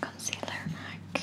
Concealer MAC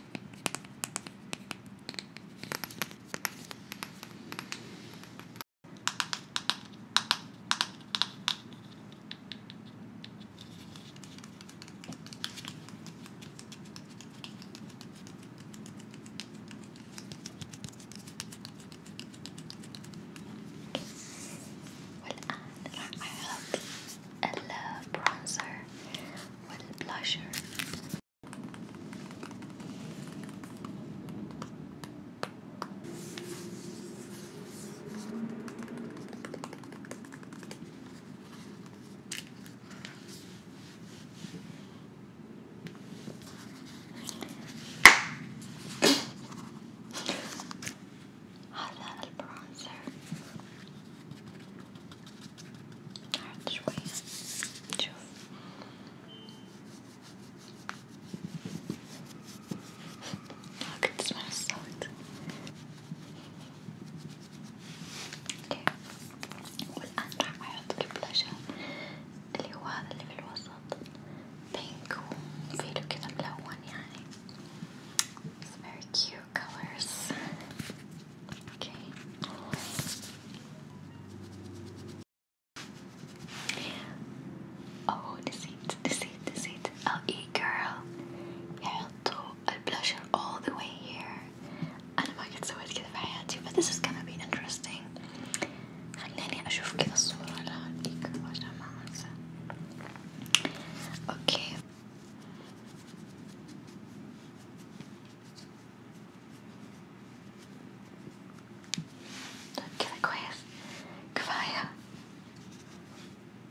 والآن راح أحط البرونزر والبلاشر Hot little bronzer. تعال شوية شوف كنت تسمع الصوت اوكي والآن راح أحط البلاشر اللي هو هذا اللي في الوسط بينك وفيلو كذا ملون يعني It's very cute colors. Okay. Oh deceit, deceit, deceit. LE girl. Yeah, to a blusher all the way here. أنا ما قد سويت كذا في حياتي but this is gonna be interesting. خليني أشوف كذا الصورة لها لي girl عشان ما أنسى. Okay. Queda كويس كفاية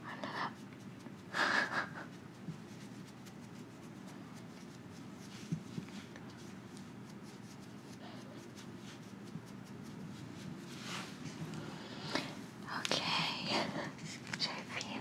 ولا لا؟ اوكي شايفين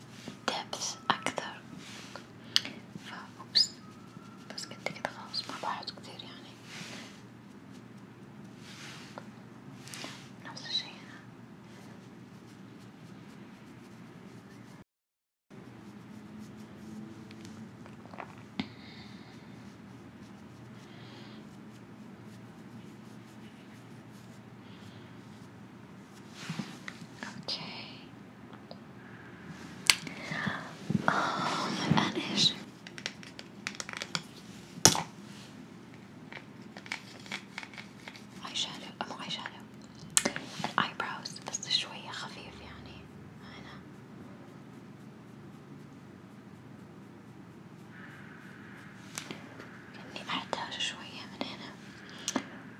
دبس أكثر ف أوبس بس قد كده خلاص ما بعد كتير يعني نفس الشي هنا Okay. Oh, my gosh. eyeshadow أبغى eyeshadow الأيبروز بس شوية خفيف يعني هنا كأني أحتاج شوية من هنا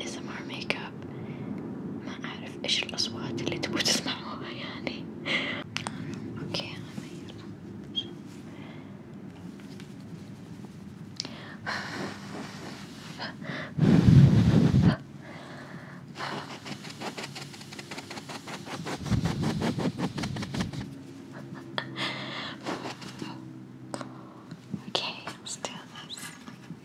ASMR ميك اب ما اعرف ايش الاصوات اللي تبوا تسمعوها يعني اوكي غير Okay, let's do this.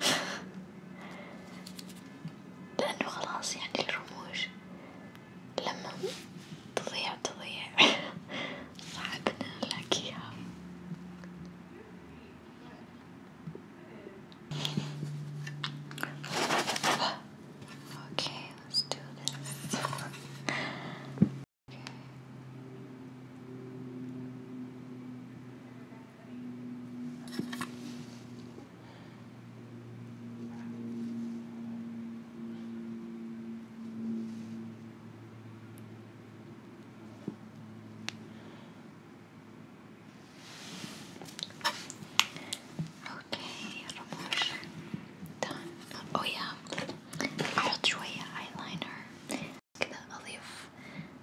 لأنه خلاص يعني الرموش لما تضيع تضيع صعب إن نلاقيها Okay, let's do this. okay. Okay, promotion done. Oh yeah, I'll eyeliner. I'm going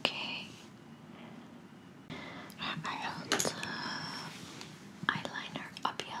Okay. I do eyeliner up yet.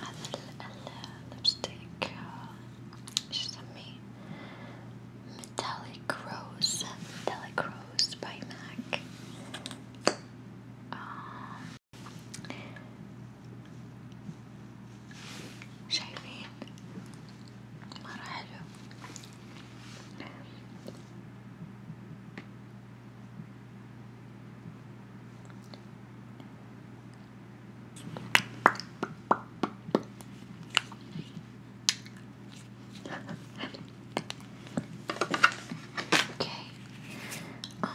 هذا اللبستيك ايش اسميه ميتاليك روز ميتاليك روز باي ماك شايفين مرة حلو okay. Um,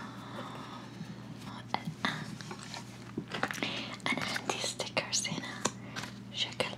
and, these stickers in a chocolate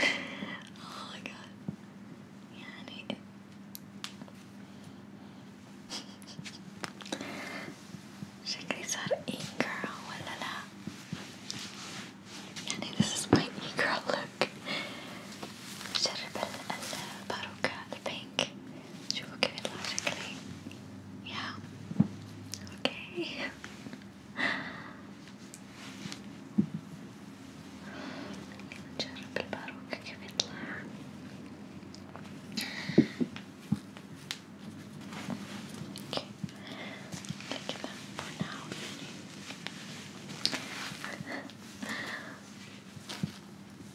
oh my god. Yeah, I need it. Should I start e-girl? this is my e-girl look. بجرب الباروكة البينك you will give it logically. Yeah. Okay. نجرب الباروكة كيف يطلع اوكي كده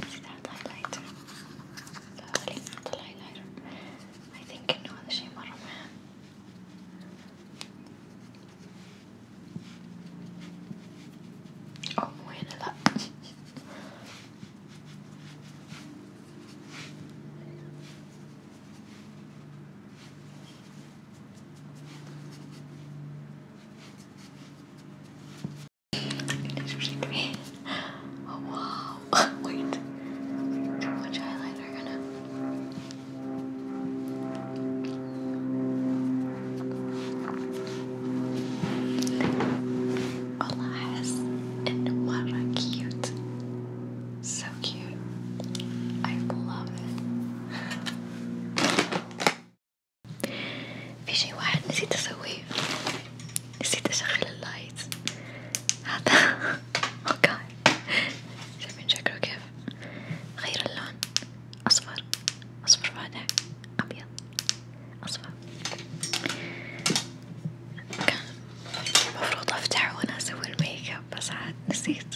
Without highlighter, slowly add the highlighter. I think you know the shimmer, man. Oh, bueno, that. wow. Wait. Too much eyeliner gonna والله أحس إنه مرة cute so cute I love it في شي واحد نسيت أسويه نسيت أشغل اللايت هذا اوكي شايفين شكله كيف غير اللون أصفر أصفر فاتح أبيض أصفر كان المفروض أفتحه وأنا أسوي الميك اب بس عاد نسيت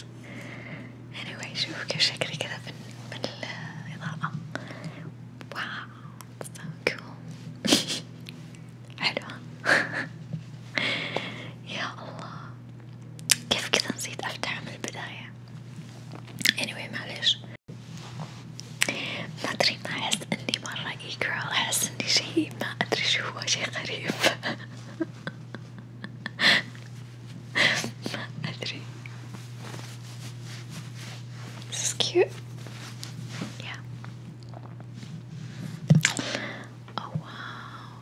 anyway شوف كيف شكلي كذا بالإضاءة واو so cool حلوة يا الله كيف كذا نسيت أفتحه من البداية anyway معلش ما ادري ما احس اني مرة اي جيرل احس اني شي ما ادري شو هو شي غريب ما ادري This is cute Yeah Oh wow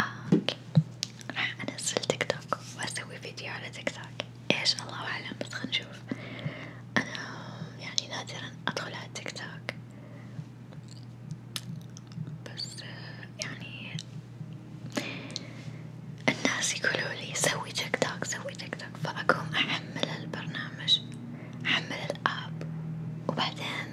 آه، راح انزل تيك توك واسوي فيديو على تيك توك ايش الله اعلم بس خلينا انا يعني نادرا ادخل على تيك توك بس يعني الناس يقولوا سوي تيك توك سوي تيك توك فأقوم أحمل البرنامج أحمل الآب وبعدين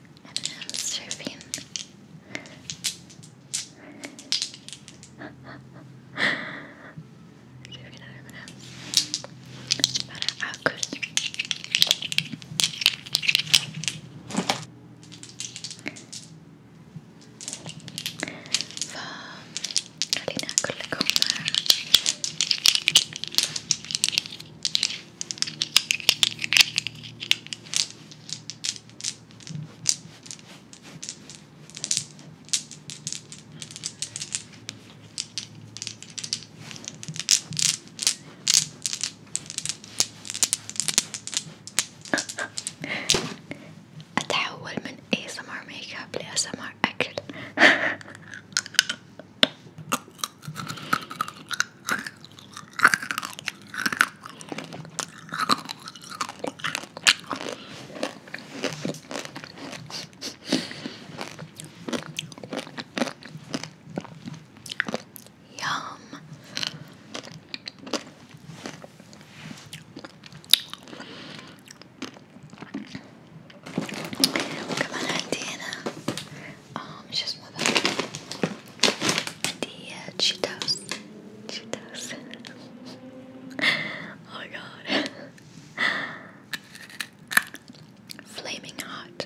and it has surfing. surfing everyone else. Para Agus. From Karina Kulikoma. أتحول من ASMR ميك اب لأسمر أكل Yum. Come on, Diana um, сейчас мы the Cheetos. Cheetos. oh my god. Flaming hot.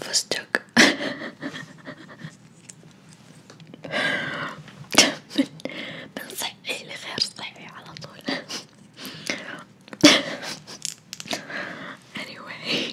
فستق من من صحي لغير صحي على طول anyway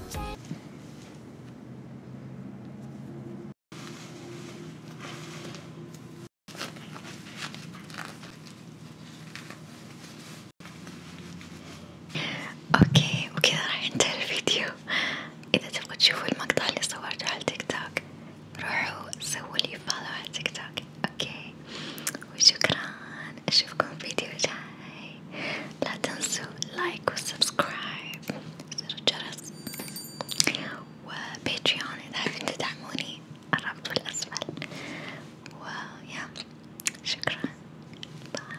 اوكي وكذا راح ينتهي الفيديو اذا تبغوا تشوفوا المقطع اللي صورته على تيك توك روحوا سووا لي فولو على تيك توك اوكي وشكرا اشوفكم فيديو جاي Laten su like or subscribe زر الجرس وباتريون إذا حابين تدعموني الرابط بالأسفل ويا شكرا باي